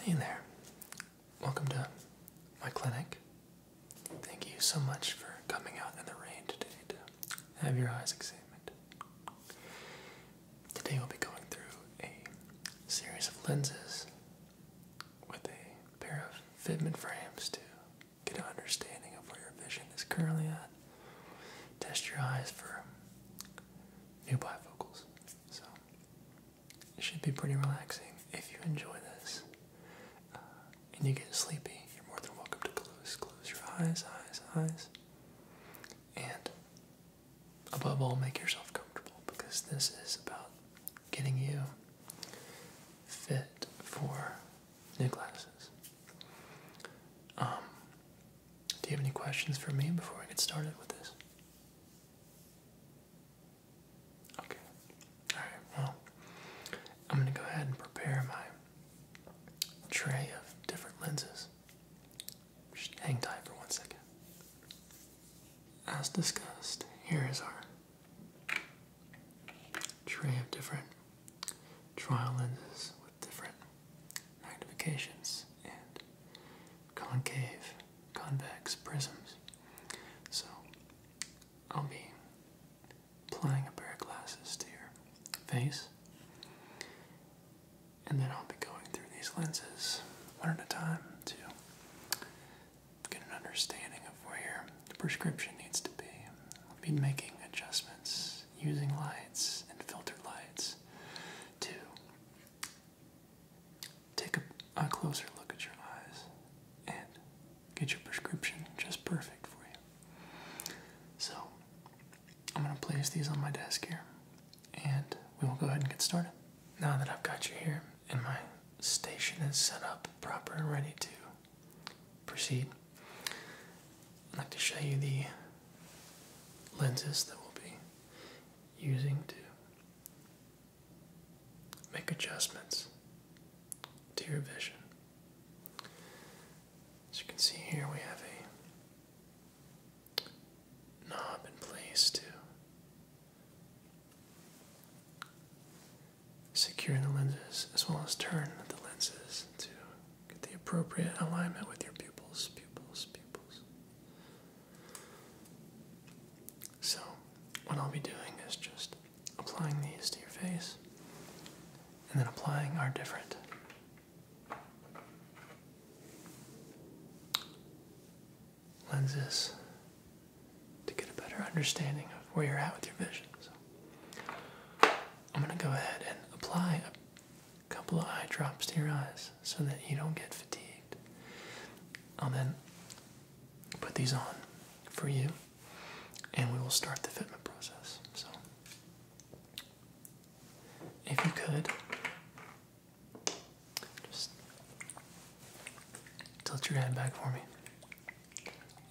Hey there. Welcome to my clinic. Thank you so much for coming out in the rain today to have your eyes examined. Today we'll be going through a series of lenses with a pair of fitment frames to get an understanding of where your vision is currently at. Test your eyes for new bifocals. So it should be pretty relaxing if you enjoy this. Uh, and you get sleepy, you're more than welcome to close, close your eyes, eyes, eyes. And above all, make yourself comfortable because this is about getting you fit for new classes. Um, do you have any questions for me before I get started with this? Okay. Alright, well, I'm going to go ahead and prepare my tray of different lenses. Just hang tight for one second. As discussed, here is our tray of different trial lenses with different magnifications and concave convex prisms. So I'll be applying a pair of glasses to your face, and then I'll be going through these lenses one at a time to get an understanding of where your prescription needs to be. I'll be making adjustments using lights and filtered lights to Take a, closer look at your eyes and get your prescription just perfect for you. So, I'm going to place these on my desk here and we will go ahead and get started. Now that I've got you here and my station is set up proper and ready to proceed, I'd like to show you the lenses that we'll be using to Make adjustments to your vision. As you can see here, we have a knob in place to secure the lenses as well as turn the lenses to get the appropriate alignment with your pupils, pupils, pupils. So, what I'll be doing is just applying these to your face and then applying our different lenses to get a better understanding of where you're at with your vision. So, I'm going to go ahead and apply a couple of eye drops to your eyes so that you don't get fatigued. I'll then put these on for you and we will start the fitment process. So, if you could, just tilt your head back for me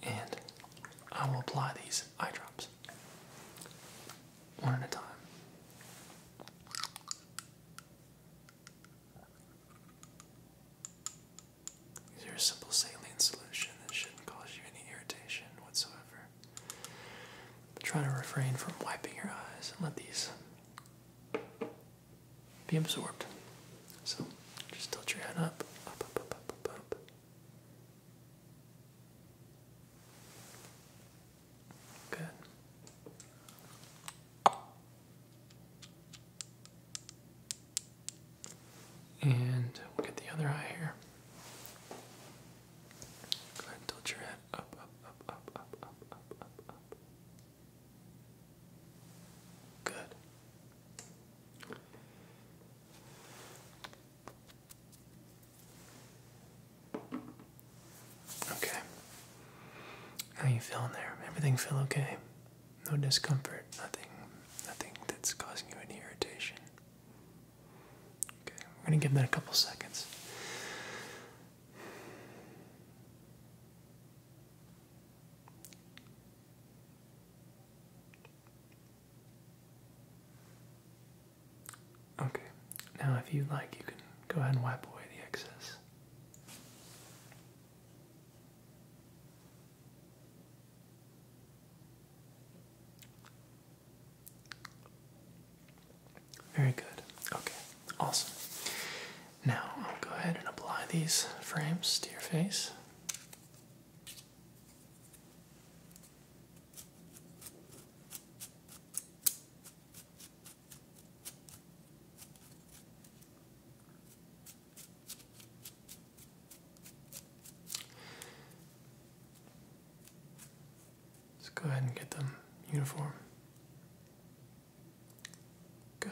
and I will apply these eye drops one at a time. These are a simple saline solution that shouldn't cause you any irritation whatsoever. try to refrain from wiping your eyes and let these be absorbed. So just tilt your head up. Good. And we'll get the other eye here. Go ahead and tilt your head up, up, up, up, up, up, up, up. Good. Okay. How you feeling there? Everything feel okay? No discomfort, nothing nothing that's causing you any irritation. Okay, we're gonna give that a couple seconds. Okay, now if you'd like, you can go ahead and wipe away the excess. Very good. Okay, awesome. Now I'll go ahead and apply these frames to your face. Let's go ahead and get them uniform. Good.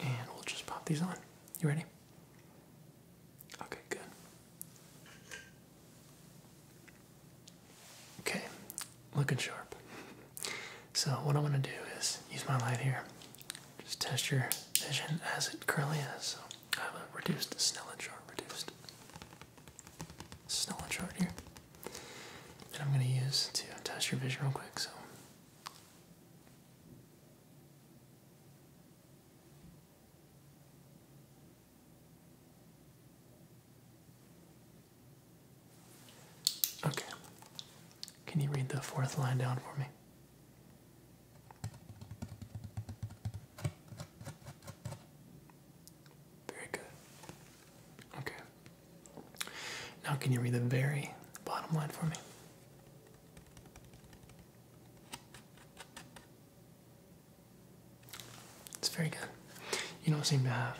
And we'll just pop these on. You ready? Okay, good. Okay, looking sharp. So what I'm gonna do is use my light here. Just test your vision as it currently is. So I have a reduced Snellen chart, reduced Snellen chart here. And I'm gonna use to test your vision real quick. So Okay. Can you read the fourth line down for me? Very good. Okay. Now, can you read the very bottom line for me? It's very good. You don't seem to have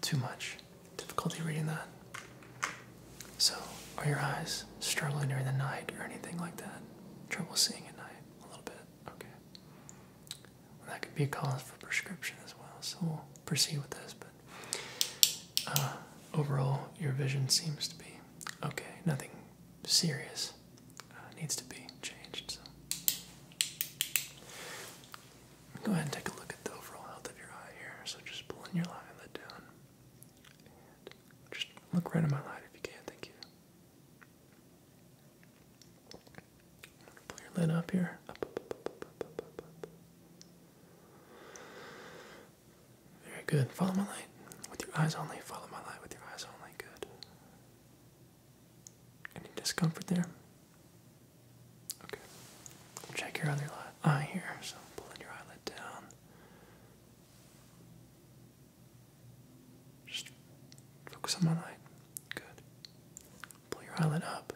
too much difficulty reading that. So, are your eyes struggling during the night or anything like that? Trouble seeing at night a little bit? Okay. that could be a cause for prescription as well, so we'll proceed with this. But uh, overall, your vision seems to be okay. Nothing serious uh, needs to be changed. So. Go ahead and take a look at the overall health of your eye here. So just pull in your eye lid down. And just look right at my light if you can, thank you. Pull your lid up here. Very good. Follow my light. With your eyes only. Follow my light with your eyes only. Good. Any discomfort there? Okay. Check your other eye here. So pulling your eyelid down. Just focus on my light. Good. Pull your eyelid up.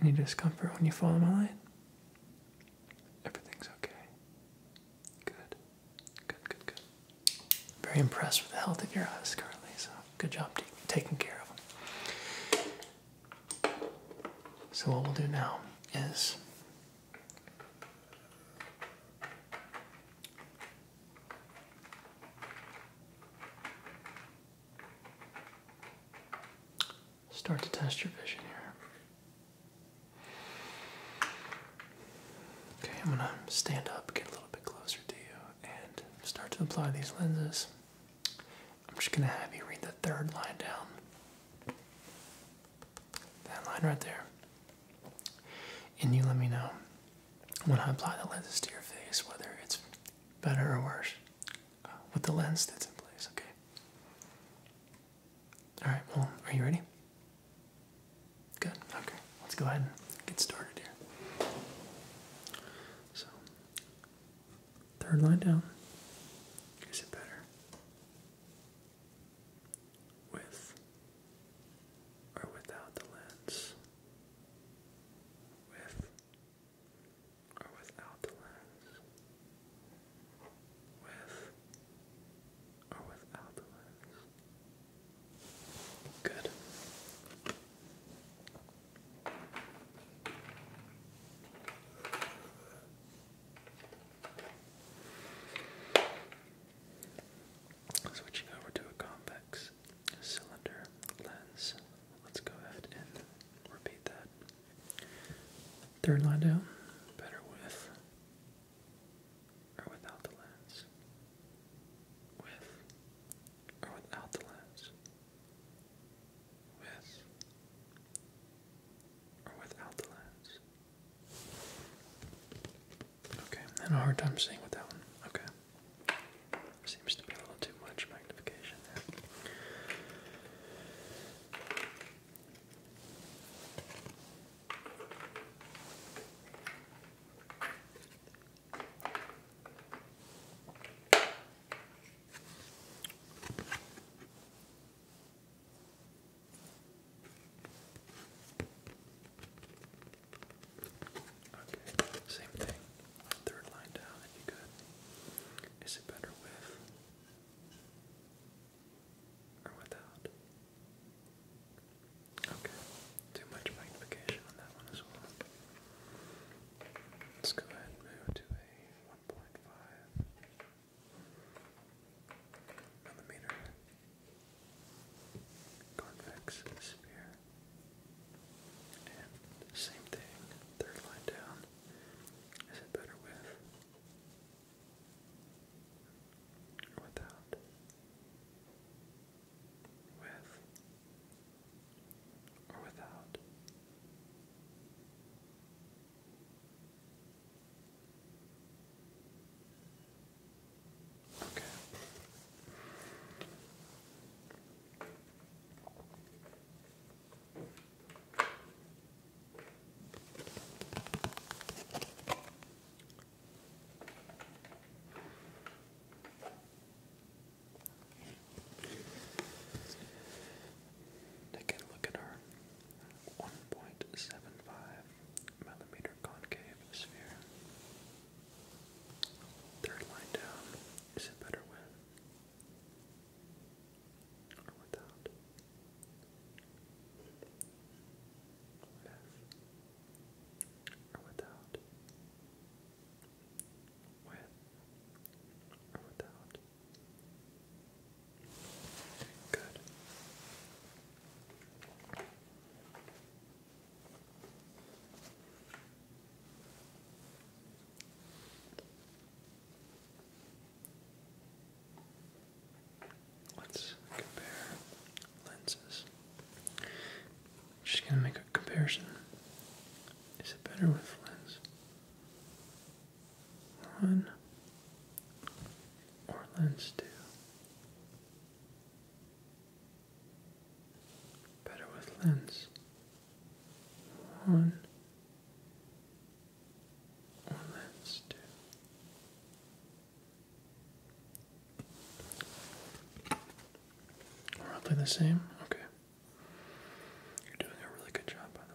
Any discomfort when you follow my light? Everything's okay. Good. Good, good, good. Very impressed with the health of your eyes currently, so good job taking care of them. So, what we'll do now is start to test your vision here. Okay, I'm gonna stand up, get a little bit closer to you, and start to apply these lenses. I'm just gonna have you read the third line down. That line right there. And you let me know when I apply the lenses to your face whether it's better or worse uh, with the lens that's in place, okay? All right, well, are you ready? Good, okay. Let's go ahead and get started here. So, third line down. Is it better? With or without the lens? With or without the lens? with or without the lens. Good. Switching over to a convex cylinder lens. Let's go ahead and repeat that. Third line down, better with or without the lens, with or without the lens, with or without the lens. Okay, i a hard time seeing with one. Okay. Seems to be a little too much magnification there. Okay, same thing. Third line down you could. Is it better with or without? Okay, too much magnification on that one as well. Let's go ahead and move to a 1.5 millimeter convex sphere. And same thing, third line down. Is it better with? without, with, or without. Okay. Take a look at our 1.75 millimeter concave sphere. Third line down, is it better with or without? With or without. With or without. Good. Good. Let's compare lenses. I'm just gonna make a comparison. Is it better with lens one or lens two? Better with lens one on lens too. Roughly the same? Okay. You're doing a really good job, by the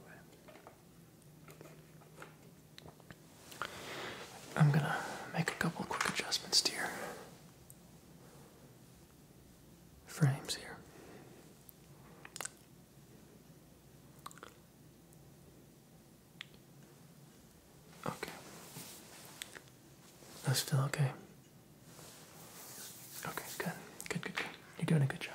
way. I'm gonna make a couple quick adjustments to frames here. Okay. That's still okay. Okay, good. Good, good, You're doing a good job.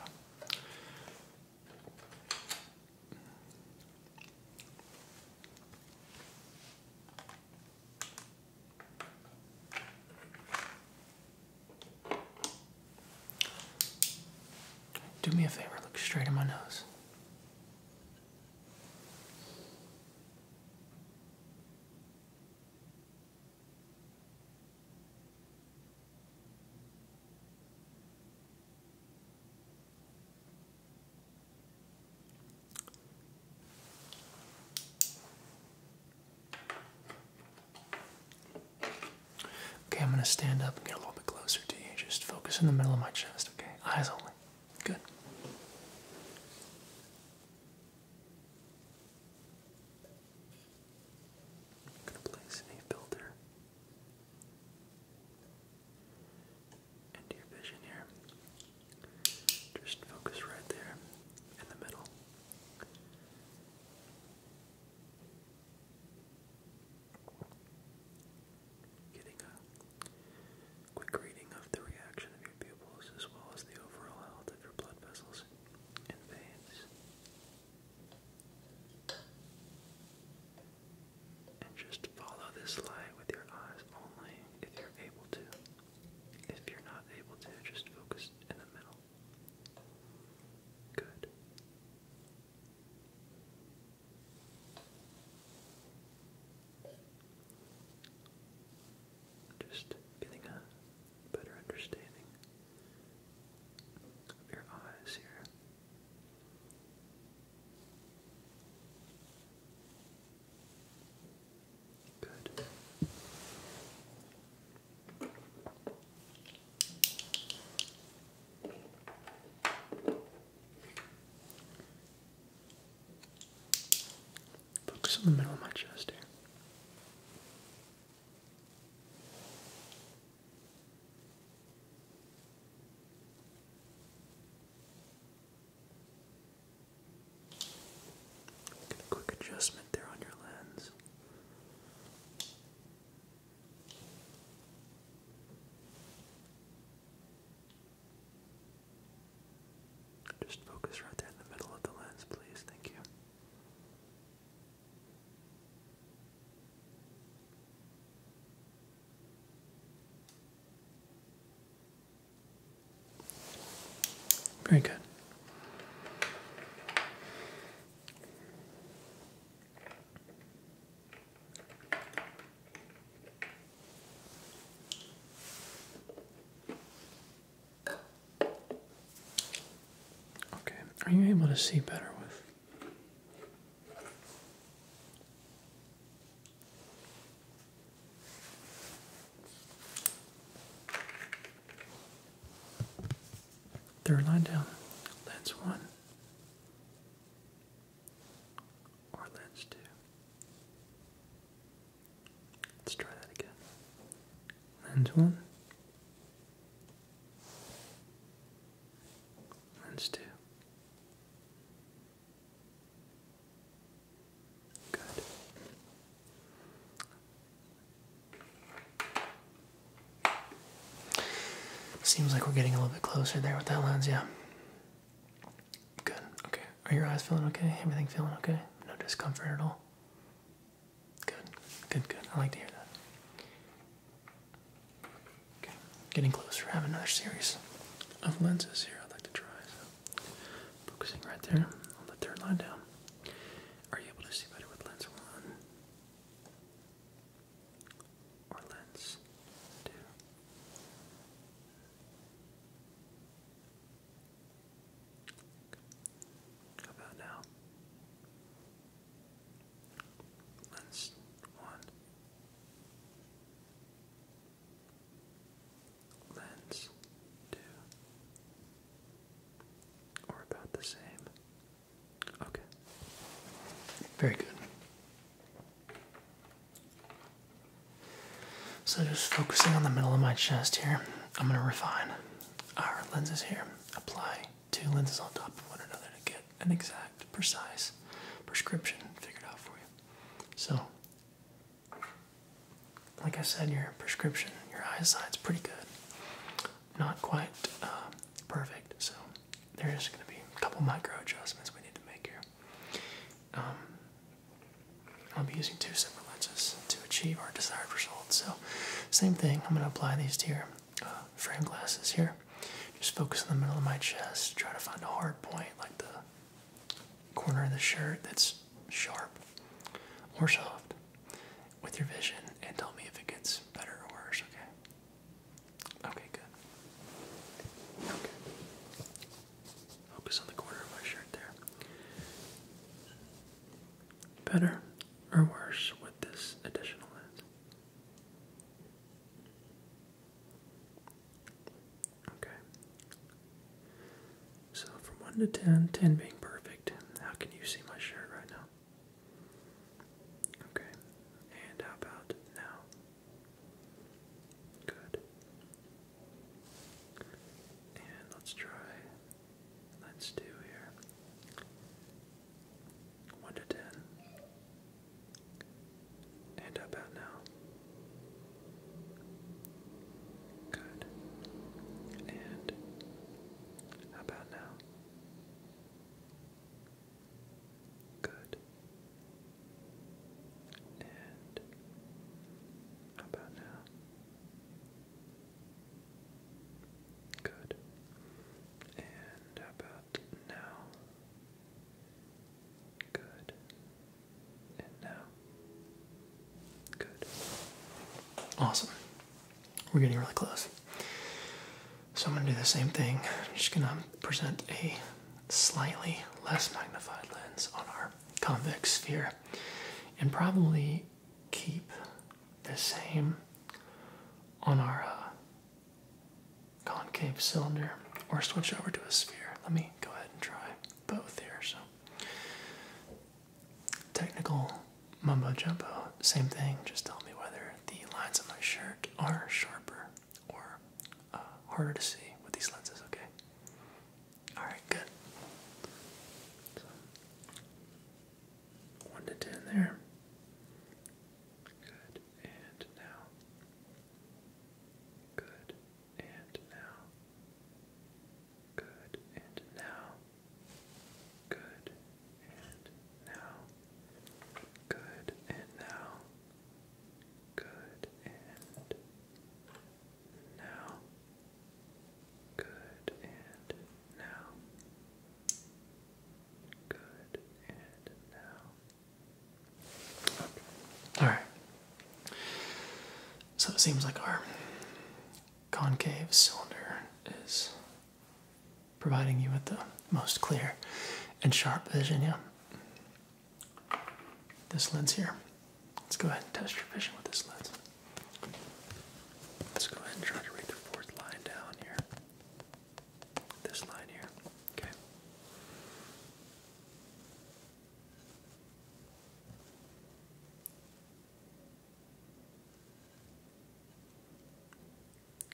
Do me a favor, look straight in my nose. Okay, I'm going to stand up and get a little bit closer to you. Just focus in the middle of my chest, okay? Eyes only. Good. I'm going to place a filter into your vision here. Just focus right there in the middle. Getting a quick reading of the reaction of your pupils as well as the overall health of your blood vessels and veins. And just follow this light with your eyes only if you're able to. If you're not able to, just focus in the middle. Good. Just getting a better understanding of your eyes here. Good. Focus on the middle of my chest here. Get a quick adjustment there on your lens. Just focus right there in the middle of the lens, please. Thank you. Very good. Okay, are you able to see better with? Third line down, lens one. Or lens 2. Let's try that again. Lens 1. Lens 2. Good. Seems like we're getting a little bit closer there with that lens, yeah. Good. Okay. Are your eyes feeling okay? Everything feeling okay? No discomfort at all? Good. Good, good. I like to hear that. Okay. Getting closer. I have another series of lenses here I'd like to try. focusing right there on the third line down. Are you able to see better with lens one? or let about now? Lens one, lens two, or about the same. Okay. Very good. So just focusing on the middle of my chest here, I'm gonna refine our lenses here. Apply two lenses on top of one another to get an exact, precise prescription figured out for you. So, like I said, your prescription, your eyesight's pretty good, not quite uh, perfect. So there is going to be a couple micro adjustments we need to make here. Um, I'll be using two separate lenses to achieve our desired results. So, same thing, I'm going to apply these to your uh, frame glasses here. Just focus in the middle of my chest, try to find a hard point like the corner of the shirt that's sharp or soft with your vision and tell me if it gets better or worse, okay? Okay, good. Okay. Focus on the corner of my shirt there. Better or worse with this additional lens? Okay. So from 1 to 10, 10 being perfect, how can you see my shirt right now? Okay. And how about now? Good. And let's try. Let's do here. 1 to 10. And about now? Good. And about now? Good. And how about now? Good. And how about now? Good. And now? Good. Awesome. We're getting really close. So I'm going to do the same thing. I'm just going to present a slightly less magnified lens on our convex sphere and probably keep the same on our uh, concave cylinder or switch over to a sphere. Let me go ahead and try both here. So technical mumbo jumbo, same thing. Just tell me whether the lines of my shirt are sharper or uh, harder to see with these lenses, okay? Alright, good. 1 to 10 there. Good, and now. Good, and now. Good, and now. Good, and now. Good, and now. Good and now. Good and now. Good and now. Okay. Alright. So it seems like our concave cylinder is providing you with the most clear and sharp vision, yeah this lens here. Let's go ahead and test your vision with this lens. Let's go ahead and try to read the fourth line down here. This line here. Okay.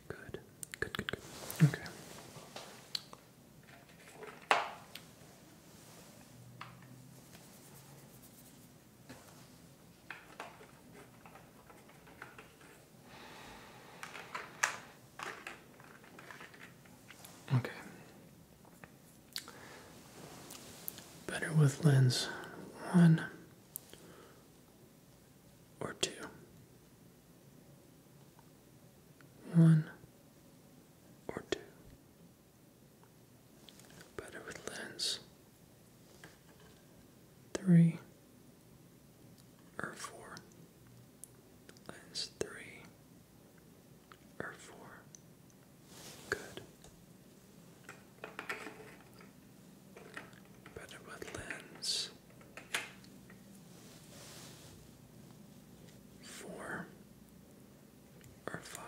Good. Good, good, good. Okay. Okay. Better with lens one or two one or two. Better with lens three or four. Lens three or four. Good. Better with lens is four or five,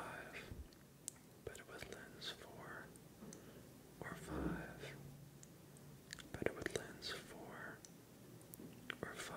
but with lens four or five, but with lens four or five.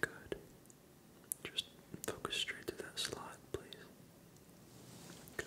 Good. Just focus straight to that slot, please. Good.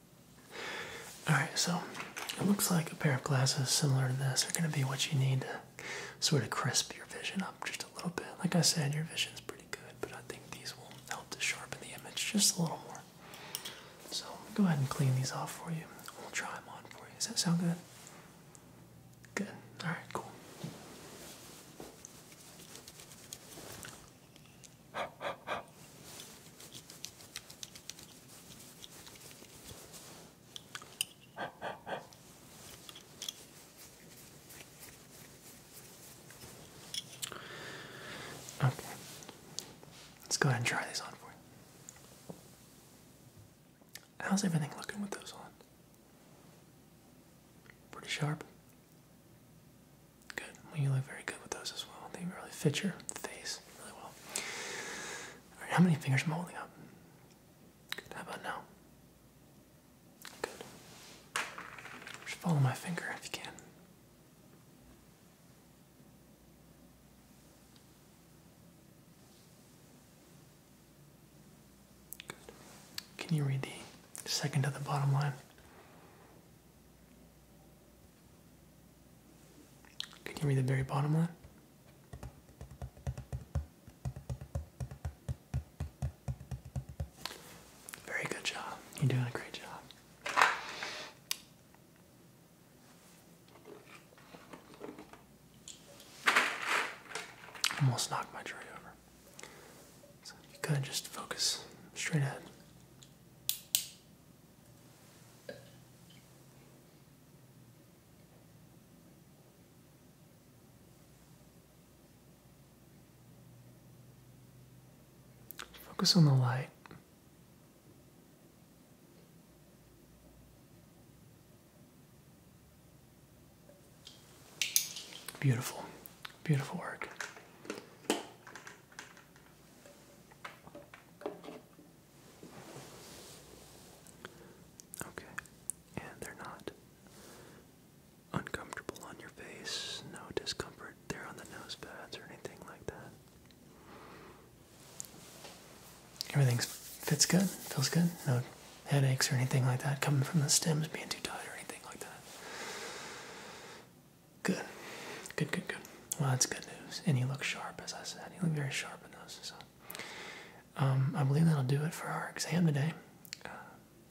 Alright, so it looks like a pair of glasses similar to this are going to be what you need to sort of crisp your vision up just a little bit. Like I said, your vision is pretty good, but I think these will help to sharpen the image just a little more. So go ahead and clean these off for you. We'll try them on for you. Does that sound good? Good. Alright, cool. Okay. Let's go ahead and try these on for you. How's everything looking with those on? Pretty sharp. Good. Well, you look very good with those as well. They really fit your face really well how many fingers am I holding up? how about now? Good. Just follow my finger if you can. Good. Can you read the second to the bottom line? Can you read the very bottom line? Very good job. You're doing a great job. Almost knocked my tray over. you kind of just focus straight ahead. Focus on the light. Beautiful, beautiful work. Okay, and they're not uncomfortable on your face, no discomfort there on the nose pads or anything like that. Everything fits good, feels good, no headaches or anything like that coming from the stems being too tight or anything like that. Good, good, good, good. Well, that's good news. And he looked sharp, as I said. He looked very sharp in those. So um, I believe that'll do it for our exam today. Uh,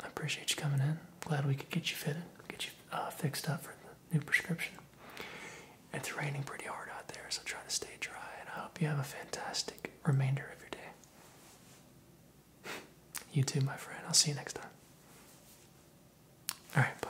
I appreciate you coming in. Glad we could get you fitted, get you uh, fixed up for the new prescription. It's raining pretty hard out there, so try to stay dry. And I hope you have a fantastic remainder of your day. you too, my friend. I'll see you next time. All right, bye.